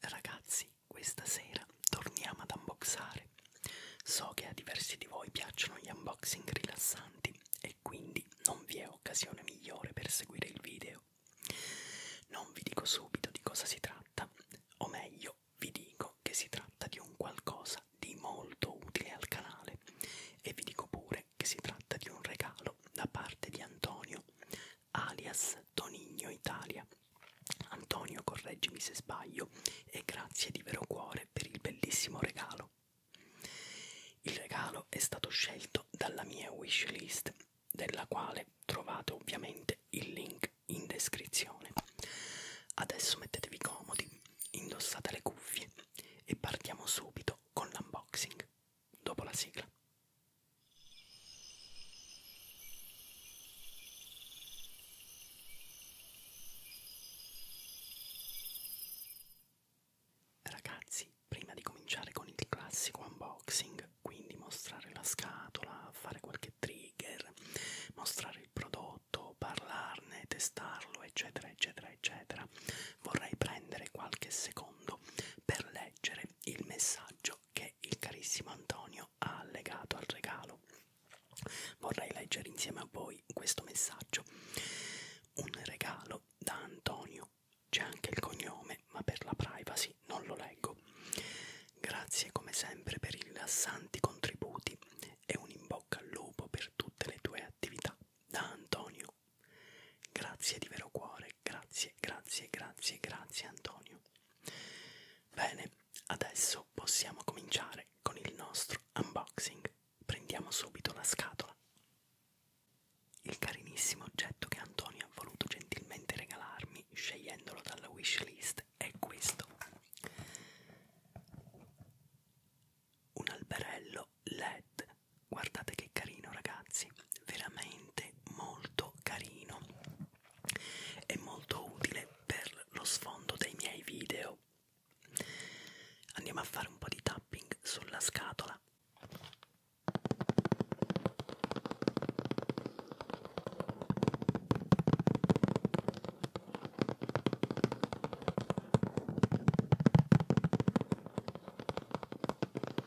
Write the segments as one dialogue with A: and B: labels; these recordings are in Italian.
A: Ragazzi, questa sera torniamo ad unboxare. So che a diversi di voi piacciono gli unboxing rilassanti e quindi non vi è occasione migliore per seguire il video. Non vi dico subito di cosa si tratta, o meglio, vi dico che si tratta di un qualcosa di molto utile al canale e vi dico pure che si tratta di un regalo da parte di Antonio alias Tonigno Italia. Antonio, correggimi se sbaglio, e grazie di vero cuore per il bellissimo regalo. Il regalo è stato scelto dalla mia wishlist, della quale trovate ovviamente il link in descrizione. Adesso mettetevi comodi, indossate le cuffie e partiamo subito con l'unboxing, dopo la sigla. Ragazzi, prima di cominciare con il classico unboxing, quindi mostrare la scatola, fare qualche trigger, mostrare il prodotto, parlarne, testarlo, eccetera, eccetera, eccetera, vorrei prendere qualche secondo per leggere il messaggio che il carissimo Antonio ha legato al regalo. Vorrei leggere insieme a voi questo messaggio. Un regalo da Antonio. C'è anche il cognome, ma per la privacy non lo leggo. Grazie come sempre per i rilassanti contributi e un in bocca al lupo per tutte le tue attività. Da Antonio, Antonio. Grazie di vero cuore, grazie, grazie, grazie, grazie Antonio. Bene, adesso possiamo cominciare con il nostro unboxing. Prendiamo subito la scatola. Il carinissimo oggetto che Antonio ha voluto gentilmente regalarmi, scegliendolo dalla wishlist, è questo. Un alberello led guardate che carino ragazzi veramente molto carino è molto utile per lo sfondo dei miei video andiamo a fare un po' di tapping sulla scatola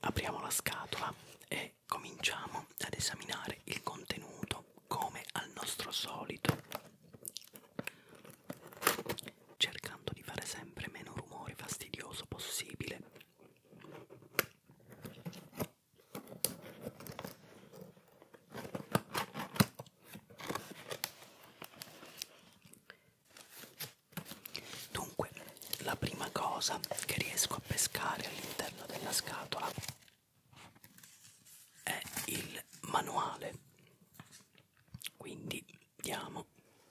A: apriamo la scatola e cominciamo ad esaminare il contenuto come al nostro solito cercando di fare sempre meno rumore fastidioso possibile Dunque, la prima cosa che riesco a pescare all'interno della scatola è il manuale. Quindi diamo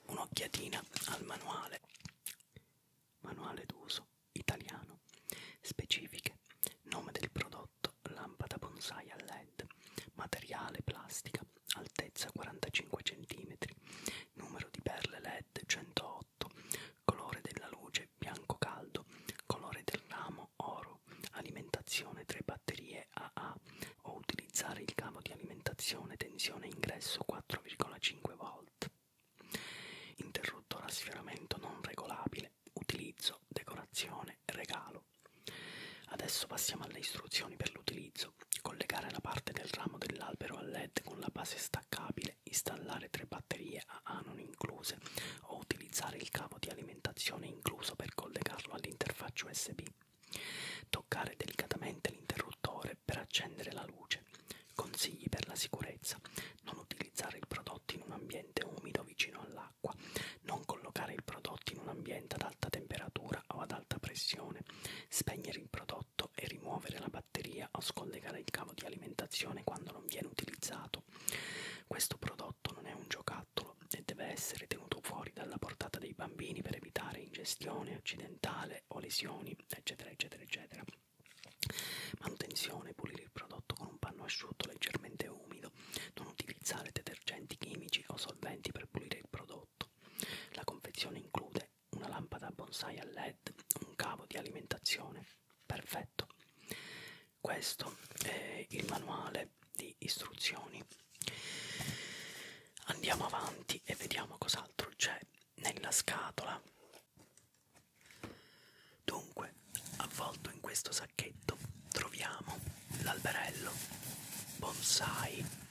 A: un'occhiatina al manuale. Manuale d'uso italiano. Specifiche. Nome del prodotto. Lampada bonsai a led. Materiale plastica altezza 45 cm, numero di perle LED 108, colore della luce bianco caldo, colore del ramo oro, alimentazione 3 batterie AA o utilizzare il cavo di alimentazione tensione ingresso 4,5 volt. Interruttore a sfioramento non regolabile, utilizzo, decorazione, regalo. Adesso passiamo alle istruzioni per l'utilizzo utilizzo, collegare la parte del ramo dell'albero al LED con la base staccabile, installare tre batterie AA non incluse o utilizzare il cavo di alimentazione incluso per collegarlo all'interfaccia USB. Toccare delicatamente l'interruttore per accendere la luce. Consigli per la sicurezza: non utilizzare il prodotto in un ambiente umido vicino all'acqua, non collocare il prodotto in un ambiente ad alta temperatura o ad alta pressione, batterie, spegnere il prodotto e rimuovere la batteria o scollegare il cavo di alimentazione quando non viene utilizzato. Questo prodotto non è un giocattolo e deve essere tenuto fuori dalla portata dei bambini per evitare ingestione accidentale o lesioni, eccetera, eccetera, eccetera. Manutenzione, pulire il prodotto con un panno asciutto leggermente umido, non utilizzare detergenti chimici o solventi per pulire il prodotto prodotto. La confezione include una lampada bonsai a led, un cavo di alimentazione. Perfetto. Questo è il manuale di istruzioni. Andiamo avanti e vediamo cos'altro c'è nella scatola. Dunque, avvolto in questo sacchetto troviamo l'alberello, bonsai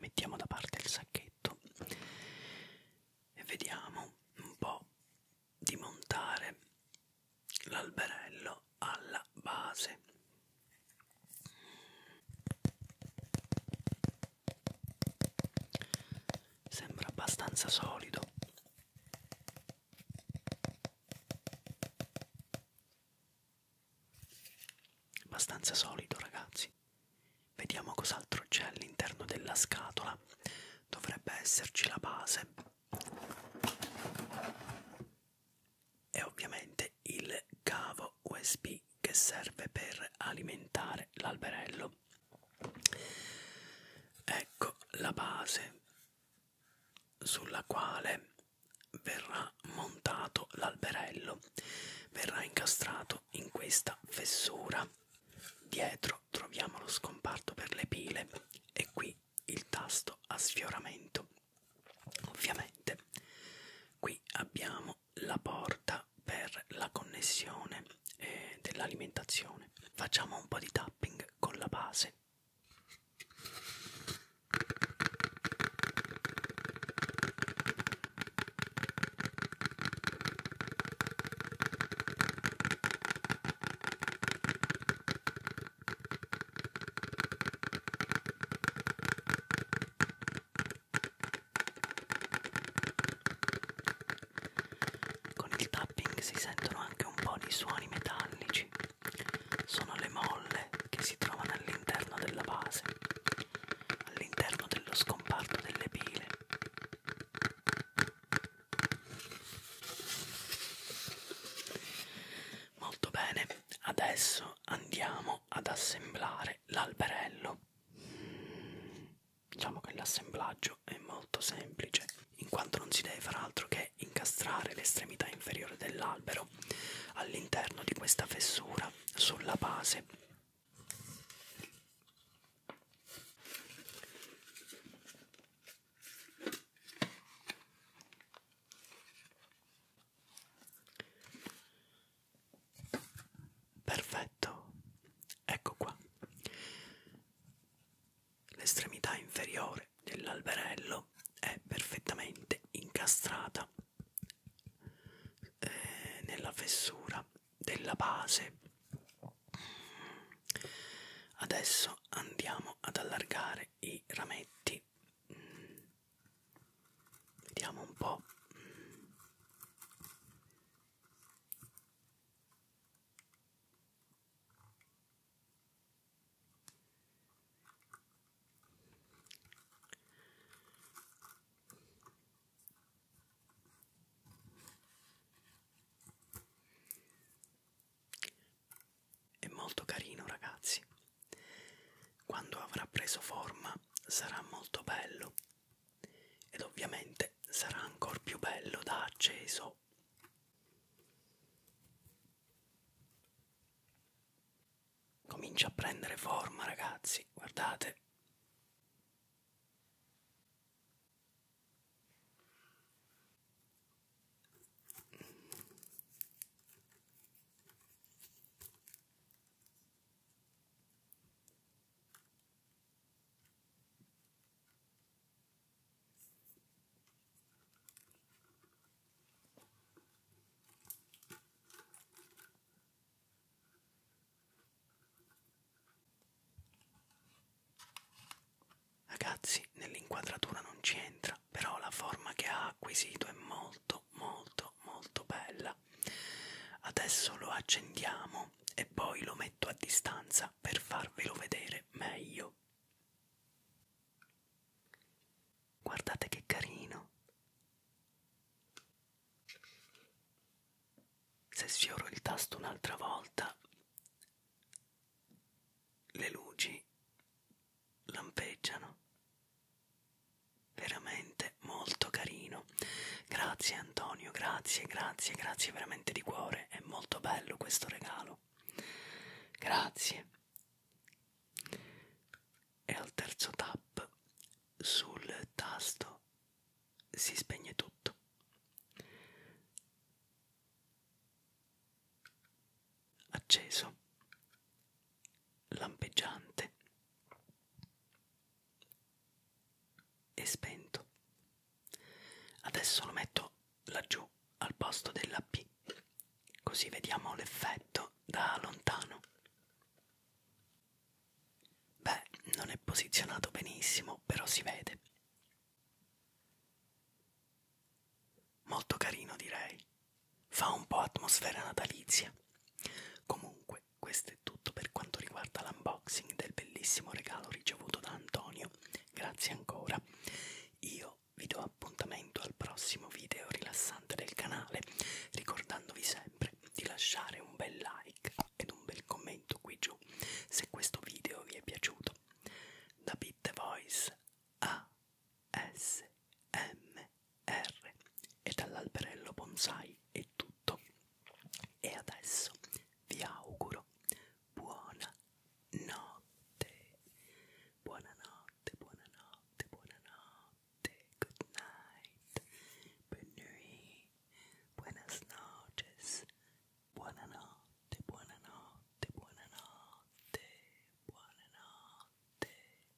A: Mettiamo da parte il sacchetto e vediamo un po' di montare l'alberello alla base. Sembra abbastanza solido Abbastanza solido, ragazzi. Vediamo cos'altro c'è all'interno della scatola. Dovrebbe esserci la base e ovviamente il cavo USB che serve per alimentare l'alberello. Ecco la base sulla quale verrà montato l'alberello, verrà incastrato in questa fessura. Dietro troviamo lo scomparto per le pile e qui il tasto a sfioramento. Ovviamente qui abbiamo la porta per la connessione eh, dell'alimentazione. Facciamo un po' di tapping con la base con il tapping si sentono anche un po' di suoni metallici sono le molle che si trovano all'interno della base, all'interno dello scomparto delle pile. Molto bene, adesso andiamo ad assemblare l'alberello. Diciamo che l'assemblaggio è molto semplice, in quanto non si deve far altro che è incastrare l'estremità inferiore dell'albero all'interno di questa fessura sulla base. Perfetto, ecco qua. L'estremità inferiore dell'alberello è perfettamente incastrata eh, nella fessura della base. Adesso andiamo ad allargare i rametti. Mm. Vediamo un po'. Mm. È molto carino ragazzi. Quando avrà preso forma sarà molto bello ed ovviamente sarà ancora più bello da acceso Ciao! Comincia a prendere forma ragazzi, guardate. Ragazzi, nell'inquadratura non c'entra, però la forma che ha acquisito è molto molto molto bella. Adesso lo accendiamo e poi lo metto a distanza per farvelo vedere meglio. Guardate che carino. Se sfioro il tasto un'altra volta, le luci lampeggiano. Veramente molto carino. Grazie Antonio, grazie, grazie, grazie veramente di cuore. È molto bello questo regalo euro. Grazie. E al terzo tap sul tasto si spegne tutto. Acceso, lampeggiante e spento. Adesso lo metto laggiù al posto della P, così vediamo l'effetto da lontano. Beh, non è posizionato benissimo, però si vede. Molto carino direi. Fa un po' atmosfera natalizia. Comunque, questo è tutto per quanto riguarda l'unboxing del bellissimo regalo ricevuto da Antonio grazie ancora. Io vi do appuntamento al prossimo video rilassante del canale, ricordandovi sempre di lasciare un bel like ed un bel commento qui giù se questo video vi è piaciuto. Da Beat the Voice a SMR e dall'alberello bonsai è tutto. E adesso vi auguro buona notte, buonanotte, buonanotte, buonanotte, good night, bonne buenas noches, buonanotte, buonanotte, buonanotte, buonanotte, buonanotte.